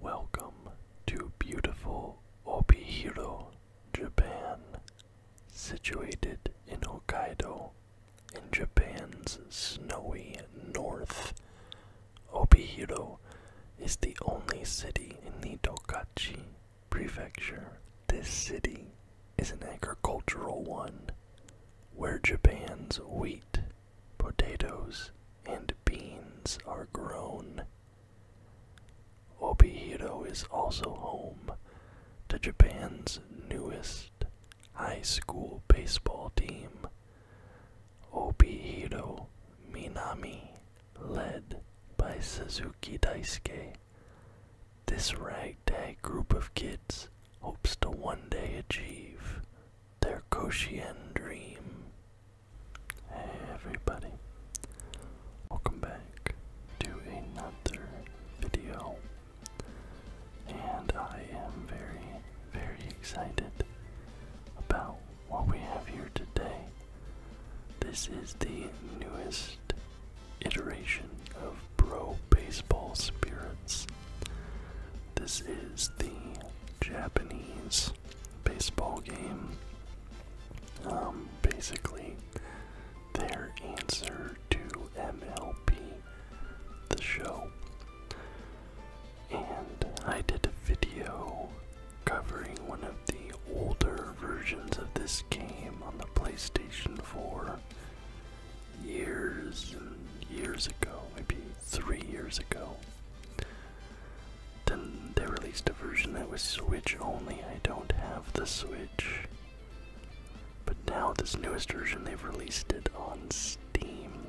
Welcome to beautiful Obihiro, Japan. Situated in Hokkaido, in Japan's snowy north, Obihiro is the only city in the Tokachi prefecture. This city is an agricultural one where Japan's wheat Potatoes and beans are grown. Obihiro is also home to Japan's newest high school baseball team. Obihiro Minami, led by Suzuki Daisuke. This ragtag group of kids hopes to one day achieve their Koshien dream. Hey everybody, welcome back to another video, and I am very, very excited about what we have here today. This is the newest iteration of Pro Baseball Spirits. This is the Japanese baseball game. Um, basically, their answer to MLB, the show. And I did a video covering one of the older versions of this game on the PlayStation 4 years and years ago, maybe three years ago. Then they released a version that was Switch only. I don't have the Switch. But now, this newest version, they've released it on Steam.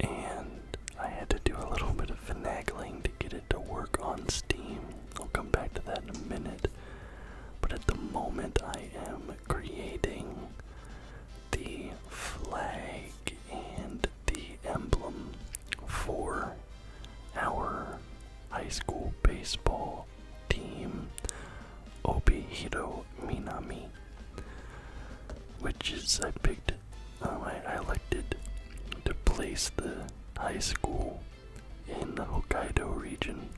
And I had to do a little bit of finagling to get it to work on Steam. I'll come back to that in a minute. But at the moment, I am creating the flag and the emblem for our high school baseball team, Obihiro Minami, which is I picked. Um, I, elected to place the high school in the Hokkaido region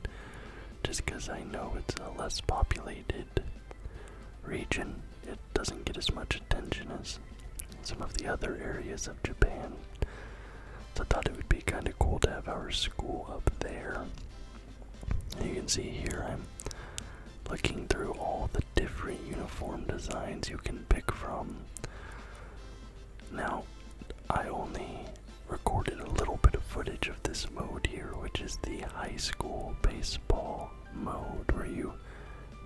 just because I know it's a less populated region, it doesn't get as much attention as some of the other areas of Japan. So I thought it would be kind of cool to have our school up there. you can see here I'm looking through all the different uniform designs you can pick from. Now, I only recorded a little bit of footage of this mode here, which is the high school base mode where you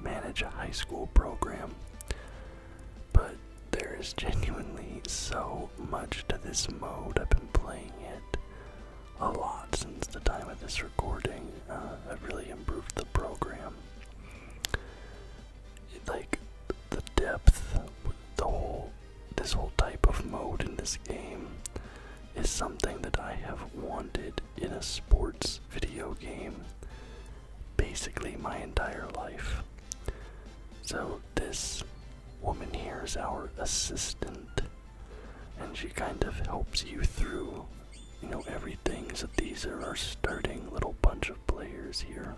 manage a high school program. But there is genuinely so much to this mode. I've been playing it a lot since the time of this recording. Uh, I've really improved the program. It, like the depth, the whole, this whole type of mode in this game is something that I have wanted in a sports video game basically my entire life. So, this woman here is our assistant, and she kind of helps you through, you know, everything. So, these are our starting little bunch of players here.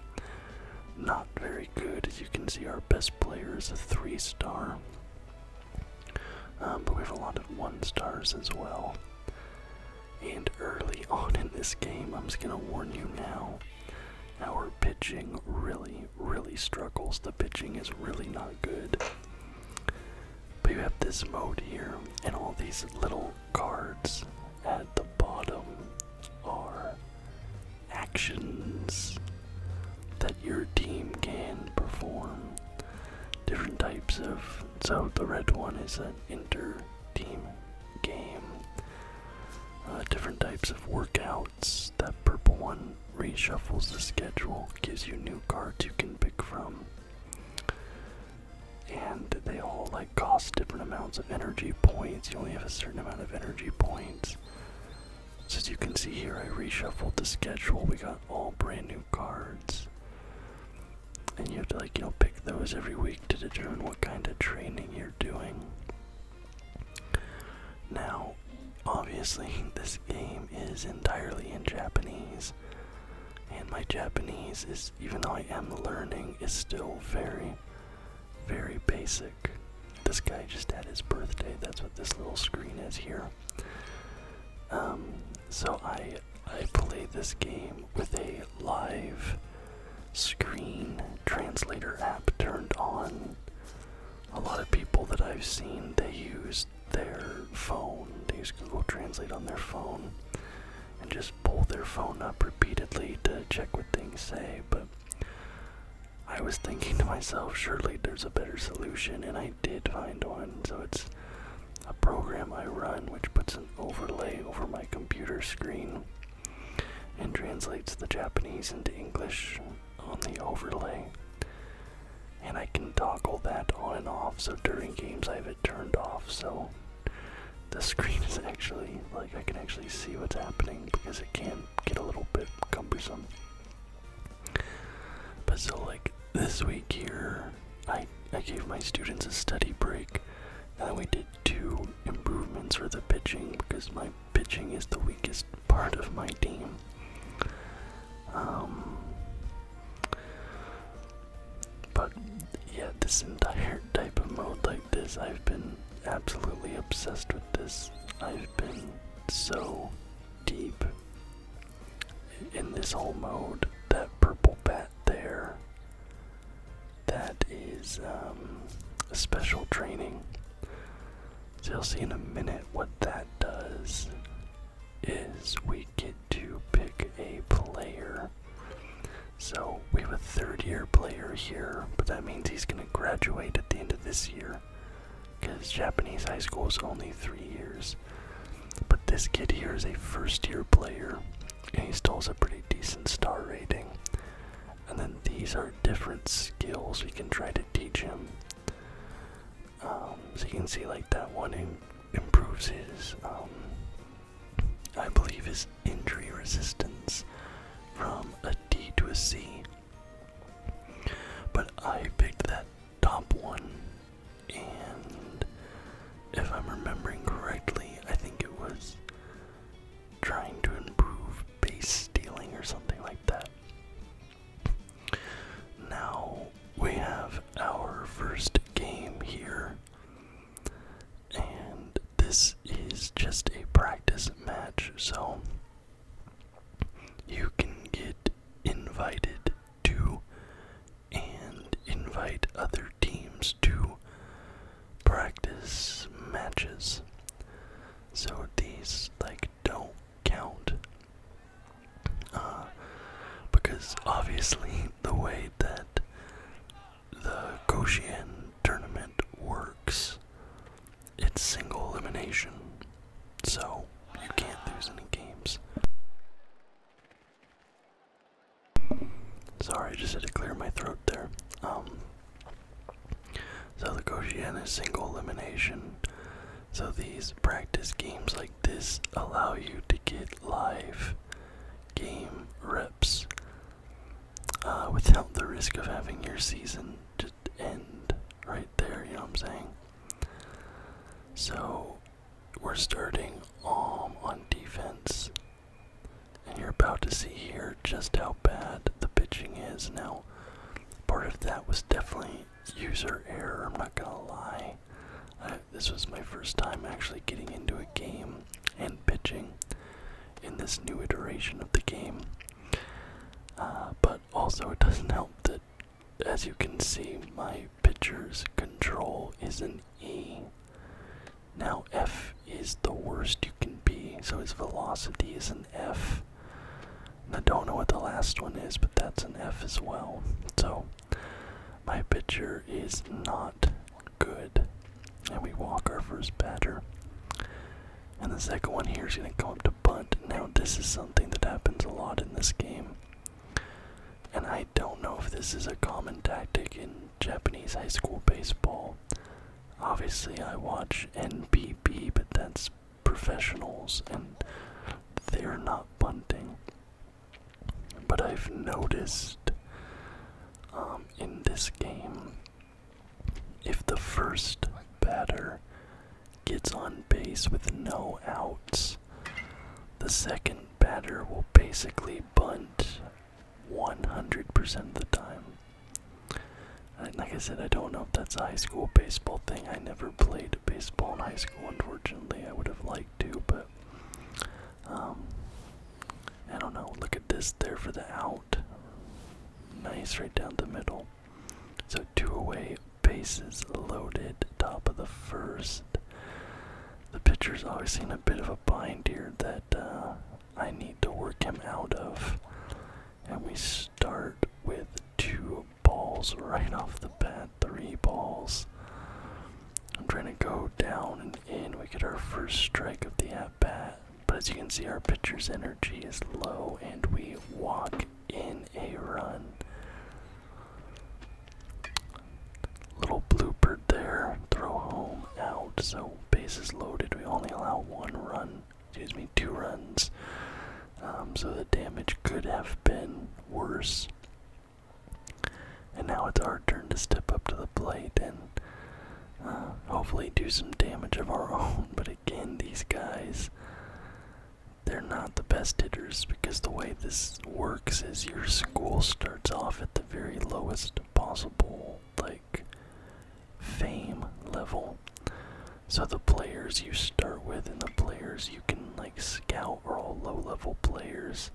Not very good, as you can see, our best player is a three star. Um, but we have a lot of one stars as well. And early on in this game, I'm just gonna warn you now, our pitching really, really struggles. The pitching is really not good. But you have this mode here, and all these little cards at the bottom are actions that your team can perform different types of. So the red one is an inter-team game. Uh, different types of workouts. That purple one reshuffles the schedule, gives you new cards you can pick from. And they all like cost different amounts of energy points. You only have a certain amount of energy points as you can see here, I reshuffled the schedule. We got all brand new cards. And you have to like, you know, pick those every week to determine what kind of training you're doing. Now, obviously, this game is entirely in Japanese. And my Japanese is, even though I am learning, is still very, very basic. This guy just had his birthday. That's what this little screen is here. Um, so I I play this game with a live screen translator app turned on. A lot of people that I've seen they use their phone. They use Google Translate on their phone and just pull their phone up repeatedly to check what things say, but I was thinking to myself, surely there's a better solution, and I did find one. So it's a program I run which puts an overlay over my computer screen and translates the Japanese into English on the overlay. And I can toggle that on and off, so during games I have it turned off, so the screen is actually like I can actually see what's happening because it can get a little bit cumbersome. But so like this week here, I I gave my students a study break, and then we did two improvements for the pitching because my pitching is the weakest part of my team. Um, but yeah, this entire type of mode like this, I've been absolutely obsessed with this. I've been so deep in this whole mode. That purple bat there, that is um, a special training. So you'll see in a minute what that does. Is we get to pick a player. So we have a third year player here, but that means he's going to graduate at the end of this year because Japanese high school is only three years. But this kid here is a first year player, and he still has a pretty decent star rating. And then these are different skills we can try to teach him. Um, so you can see, like, that one improves his, um, I believe, his injury resistance from a D to a C. But I picked that top one, and if I'm remembering correctly, I think it was trying to improve base stealing or something like that. Now we have our first game here, and this is just a practice match, so you can get invited to and invite other teams to practice matches. So these like don't count. Uh, because obviously the way that the Goshen tournament works it's single elimination, so you can't lose any games. Sorry, I just had to clear my throat there. Um, so the Koshian is single elimination. So these practice games like this allow you to get live game reps uh, without the risk of having your season end right there, you know what I'm saying? So we're starting on defense. And you're about to see here just how bad the pitching is. Now, part of that was definitely user error, I'm not gonna lie. this was my first time actually getting into a game and pitching in this new iteration of the game. Uh, but also, it doesn't help that, as you can see, my pitcher's control is an E. Now, F is the worst you can be, so his velocity is an F. don't know what the last one is, but that's an F as well. So, my pitcher is not good. And we walk our first batter. And the second one here is going to come up to bunt. Now, this is something that happens a lot in this game. And I don't know if this is a common tactic in Japanese high school baseball. Obviously, I watch NPB, but that's professionals and they're not bunting. But I've noticed um, in this game if the first batter gets on base with no outs, the second batter will basically bunt 100% of the time. like I said, I don't know if that's high school baseball thing. I never played baseball in high school, unfortunately. I would have liked to, but um, I don't know. Look at this there for the out. Nice, right down the middle. So two away, bases loaded, top of the first. The pitcher's obviously in a bit of a bind here that uh, I need to work him out of. And we start with two balls right off the bat, three balls. I'm trying to go down and in. We get our first strike of the at bat. But as you can see, our pitcher's energy is low, and we walk in a run. Little blooper there, throw home out. So bases loaded. We only allow one run, excuse me, two runs. Um, so the damage could have been worse. And now it's our turn to step up to the plate and hopefully do some damage of our own. But again, these guys, they're not the best hitters because the way this works is your school starts off at the very lowest possible, like, fame level. So the players you start with and the players you can, like, scout are all low level players.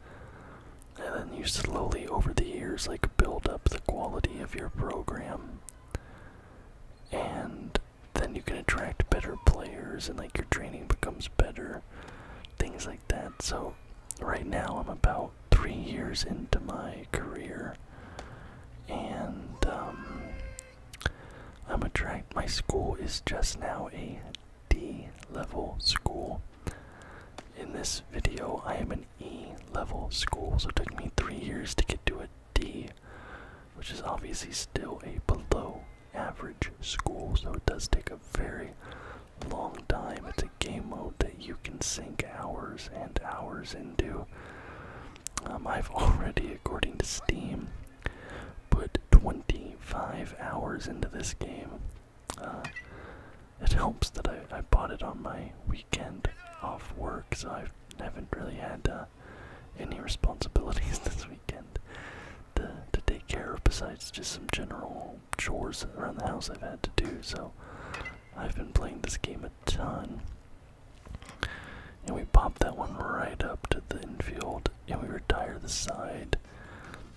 And then you slowly, over the years, like, build up the quality of your program and then you can attract better players and like your training becomes better things like that so right now i'm about three years into my career and um, i'm a attract my school is just now a d level school in this video, I am an E level school, so it took me three years to get to a D, which is obviously still a below average school, so it does take a very long time. It's a game mode that you can sink hours and hours into. Um, I've already, according to Steam, put 25 hours into this game. Uh, it helps that I, I bought it on my weekend off work, so I've, I have not really had uh, any responsibilities this weekend to, to take care of besides just some general chores around the house I've had to do. So I've been playing this game a ton. And we pop that one right up to the infield and we retire the side.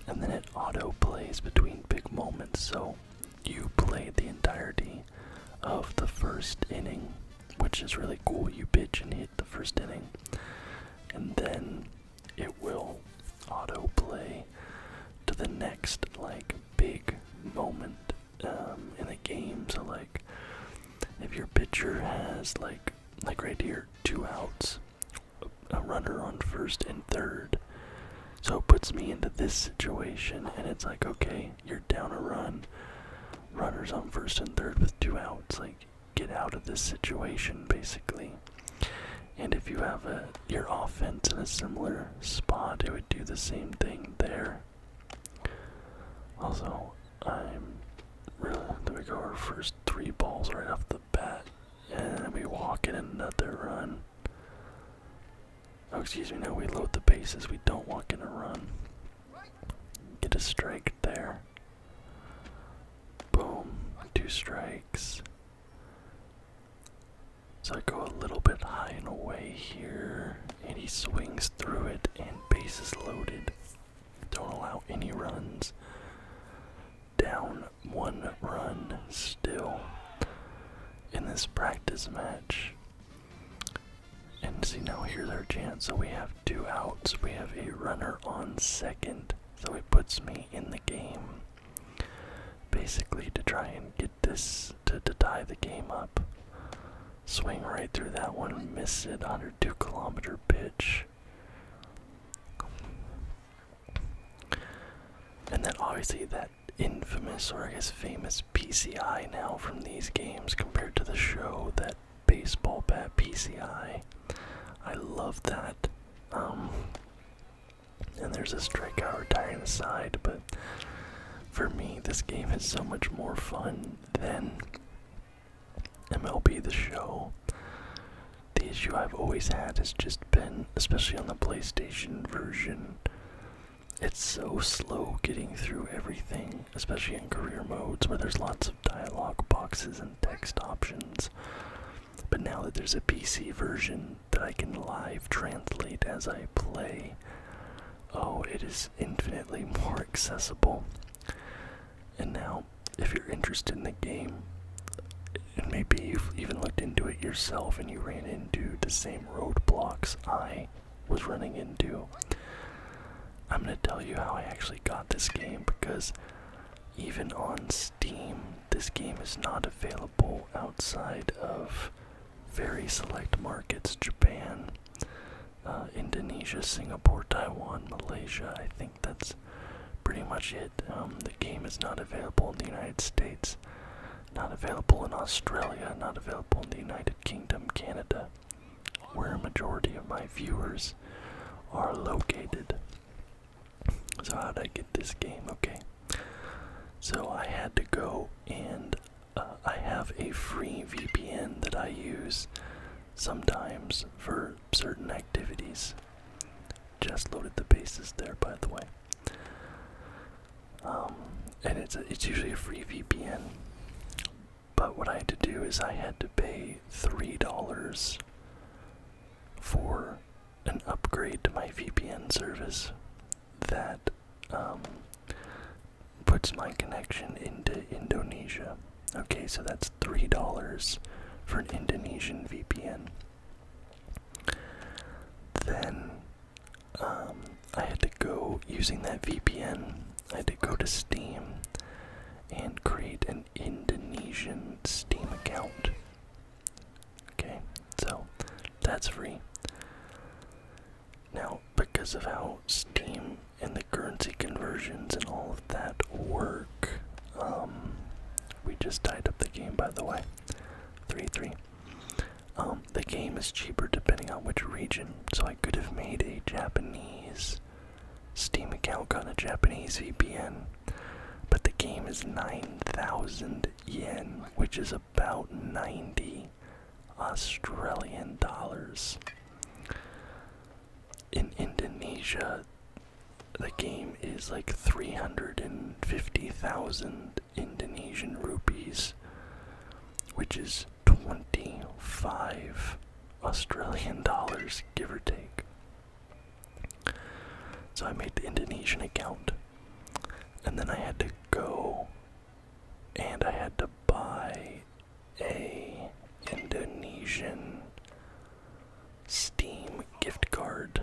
And then it auto plays between big moments, so you played the entirety of the first inning, which is really cool. You pitch and hit the first inning, and then it will autoplay to the next like big moment um, in the game. So like, if your pitcher has like like right here two outs, a runner on first and third, so it puts me into this situation, and it's like, okay, you're down a run. Runners on first and third with two outs. Like, get out of this situation, basically. And if you have a, your offense in a similar spot, it would do the same thing there. Also, I'm really. Then we go our first three balls right off the bat, and we walk walking another run. Oh, excuse me, Now we load the bases. We don't want gonna run. Get a strike there. Boom. Two strikes. So I go a little bit high and away here, and he swings through it, and bases loaded. Don't allow any runs. Down one run still in this practice match. And see, now here's our chance. So we have two outs. We have a runner on second. So he puts me in the game. Basically, to try and get this to, tie the game up. Swing right through that one, miss it under two kilometer pitch. And then obviously that infamous or I guess famous PCI now from these games compared to the show that baseball bat PCI. I love that. Um, and there's a strikeout retiring side, but for me, this game is so much more fun than MLB The Show. The issue I've always had has just been, especially on the PlayStation version, it's so slow getting through everything, especially in career modes where there's lots of dialogue boxes and text options. But now that there's a PC version that I can live translate as I play, oh, it is infinitely more accessible. And now, if you're interested in the game, and maybe you've even looked into it yourself and you ran into the same roadblocks I was running into. I'm going to tell you how I actually got this game because even on Steam, this game is not available outside of very select markets Japan, uh, Indonesia, Singapore, Taiwan, Malaysia. I think that's pretty much it. Um, the game is not available in the United States. Not available in Australia, not available in the United Kingdom, Canada, where a majority of my viewers are located. So, how'd I get this game? Okay. So, I had to go and uh, I have a free VPN that I use sometimes for certain activities. Just loaded the bases there, by the way. Um, and it's it's usually a free VPN. But what I had to do is I had to pay three dollars for an upgrade to my VPN service that um, puts my connection into Indonesia. Okay, so that's three dollars for an Indonesian VPN. Then um, I had to go using that VPN. I had to go to Steam and create an Indonesian Steam account. Okay, so that's free. Now, because of how Steam and the currency conversions and all of that work, um, we just tied up the game by the way. Three, three. Um, the game is cheaper depending on which region, so I could have made a Japanese Steam account, on a Japanese VPN, but the game is 9,000 yen, which is about 90 Australian dollars. In Indonesia, the game is like 350,000 Indonesian rupees, which is 25 Australian dollars, give or take. So I made the Indonesian account, and then I had to go and I had to buy a Indonesian Steam gift card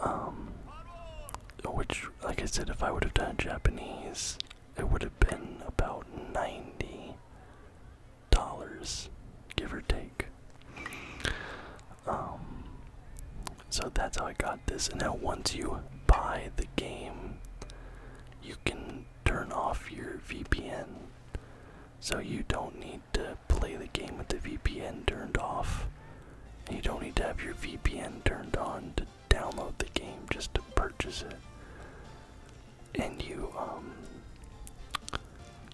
Um, which, like I said, if I would have done Japanese, it would have been about ninety dollars, give or take. Um, so that's how I got this. And now, once you buy the game, you can turn off your VPN. So you don't need to play the game with the VPN turned off. And you don't need to have your VPN turned on to download the game just to purchase it. And you um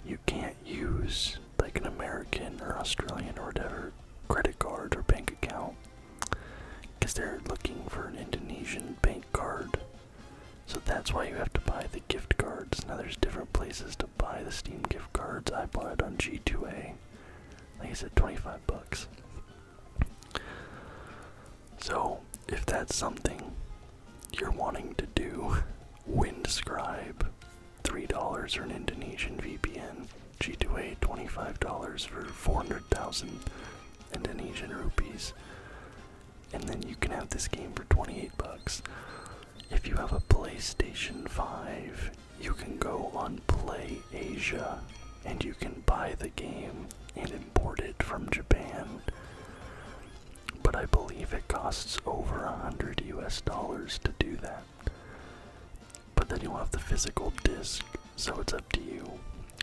you can't use like an American or Australian or whatever credit card or bank account because they're looking for an Indonesian bank card. So that's why you have to buy the gift card now there's different places to buy the Steam gift cards. I bought it on G2A. Like I said, 25 bucks. So if that's something you're wanting to do, Windscribe, $3 for an Indonesian VPN. G2A, $25 for 400,000 Indonesian rupees and then you can have this game for 28 bucks. If you have a PlayStation 5, you can go on PlayAsia and you can buy the game and import it from Japan. But I believe it costs over 100 US dollars to do that. But then you'll have the physical disc, so it's up to you.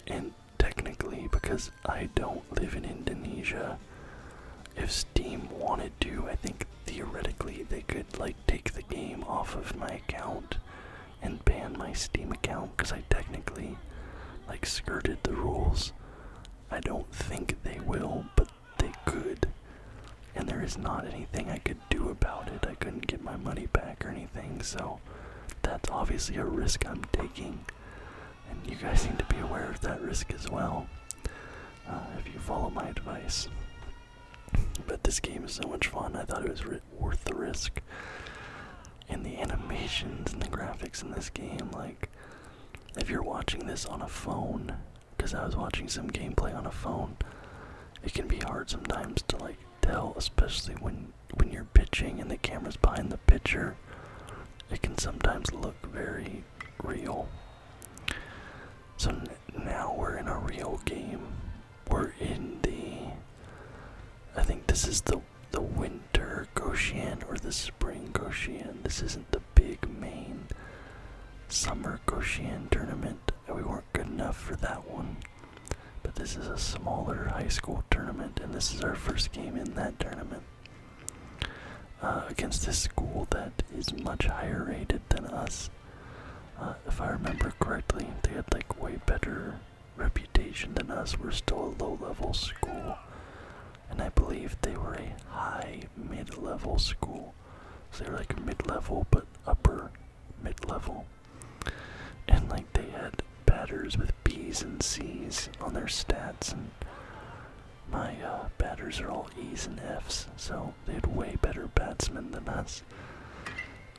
And technically, because I don't do live in Indonesia. If Steam wanted to, I think theoretically they could like take the game off of my account and ban my Steam account because I technically like skirted the rules. I don't think they will, but they could. And there is not anything I could do about it. I couldn't get my money back or anything, so that's obviously a risk I'm taking and you guys need to be aware of that risk as well uh, if you follow my advice. But this game is so much fun, I thought it was worth the risk. And the animations and the graphics in this game, like, if you're watching this on a phone, because I was watching some gameplay on a phone, it can be hard sometimes to, like, tell, especially when when you're pitching and the camera's behind the pitcher it can sometimes look very real. So now we're in a real game. We're in the. I think this is the the winter Goshen or the spring Goshen. This isn't the big main summer Goshen tournament. We weren't good enough for that one. But this is a smaller high school tournament, and this is our first game in that tournament. Uh, against this school that is much higher rated than us. Uh, if I remember correctly, they had like way better reputation than us. We're still a low level school, and I believe they were a high mid level school. So they were like mid level but upper mid level. And like they had batters with B's and C's on their stats and my uh, batters are all E's and F's, so they had way better batsmen than us.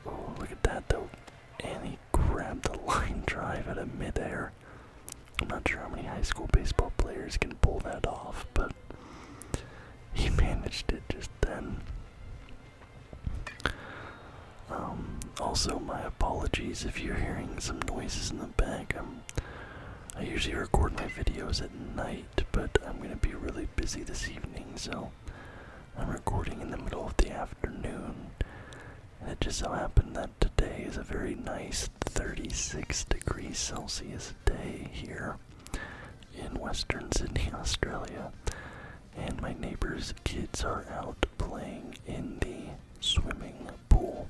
Oh, look at that though. And he grabbed a line drive out of midair. I'm not sure how many high school baseball players can pull that off, but he managed it just then. Um, also, my apologies if you're hearing some noises in the back. I usually record my videos at night, but I'm going to be really busy this evening, so I'm recording in the middle of the afternoon. it just so happened that today is a very nice 36 degrees Celsius day here in Western Sydney, Australia. And my neighbor's kids are out playing in the swimming pool.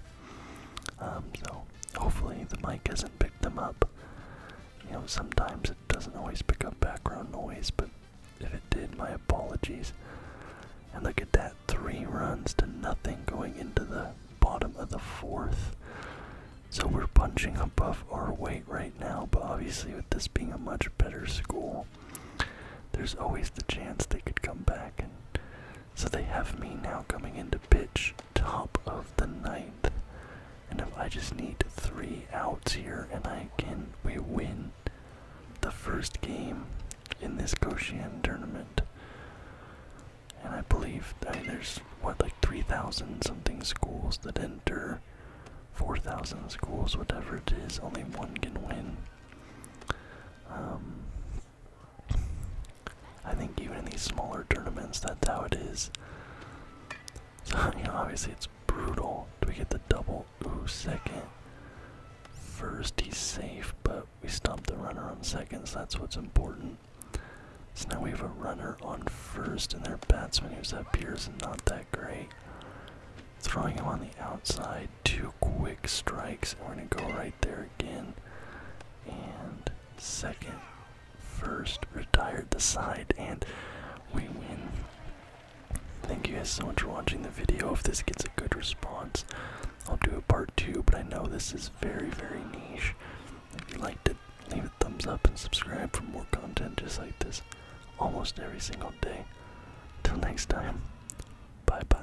Um, so hopefully the mic hasn't picked them up. You know, sometimes it doesn't always pick up background noise, but if it did, my apologies. And look at that, three runs to nothing going into the bottom of the fourth. So we're punching above our weight right now, but obviously with this being a much better school, there's always the chance they could come back and so they have me now coming into pitch top of the ninth. And if I just need three outs here and I can we win the first game in this Goshen tournament. And I believe I there's what like three thousand something schools that enter, four thousand schools, whatever it is, only one can win. Um, I think even in these smaller tournaments, that's how it is. So, you know, obviously it's brutal. Do we get the double? Ooh, second. First, he's safe, but we stopped the runner on second, so that's what's important. So now we have a runner on first, and their batsman who's up here is not that great. Throwing him on the outside, two quick strikes, and we're gonna go right there again. And second, first, retired the side, and we win. Thank you guys so much for watching the video. If this gets a good response, I'll do a part two, but I know this is very, very niche. If you liked it, leave a thumbs up and subscribe for more content just like this almost every single day. Till next time, bye bye.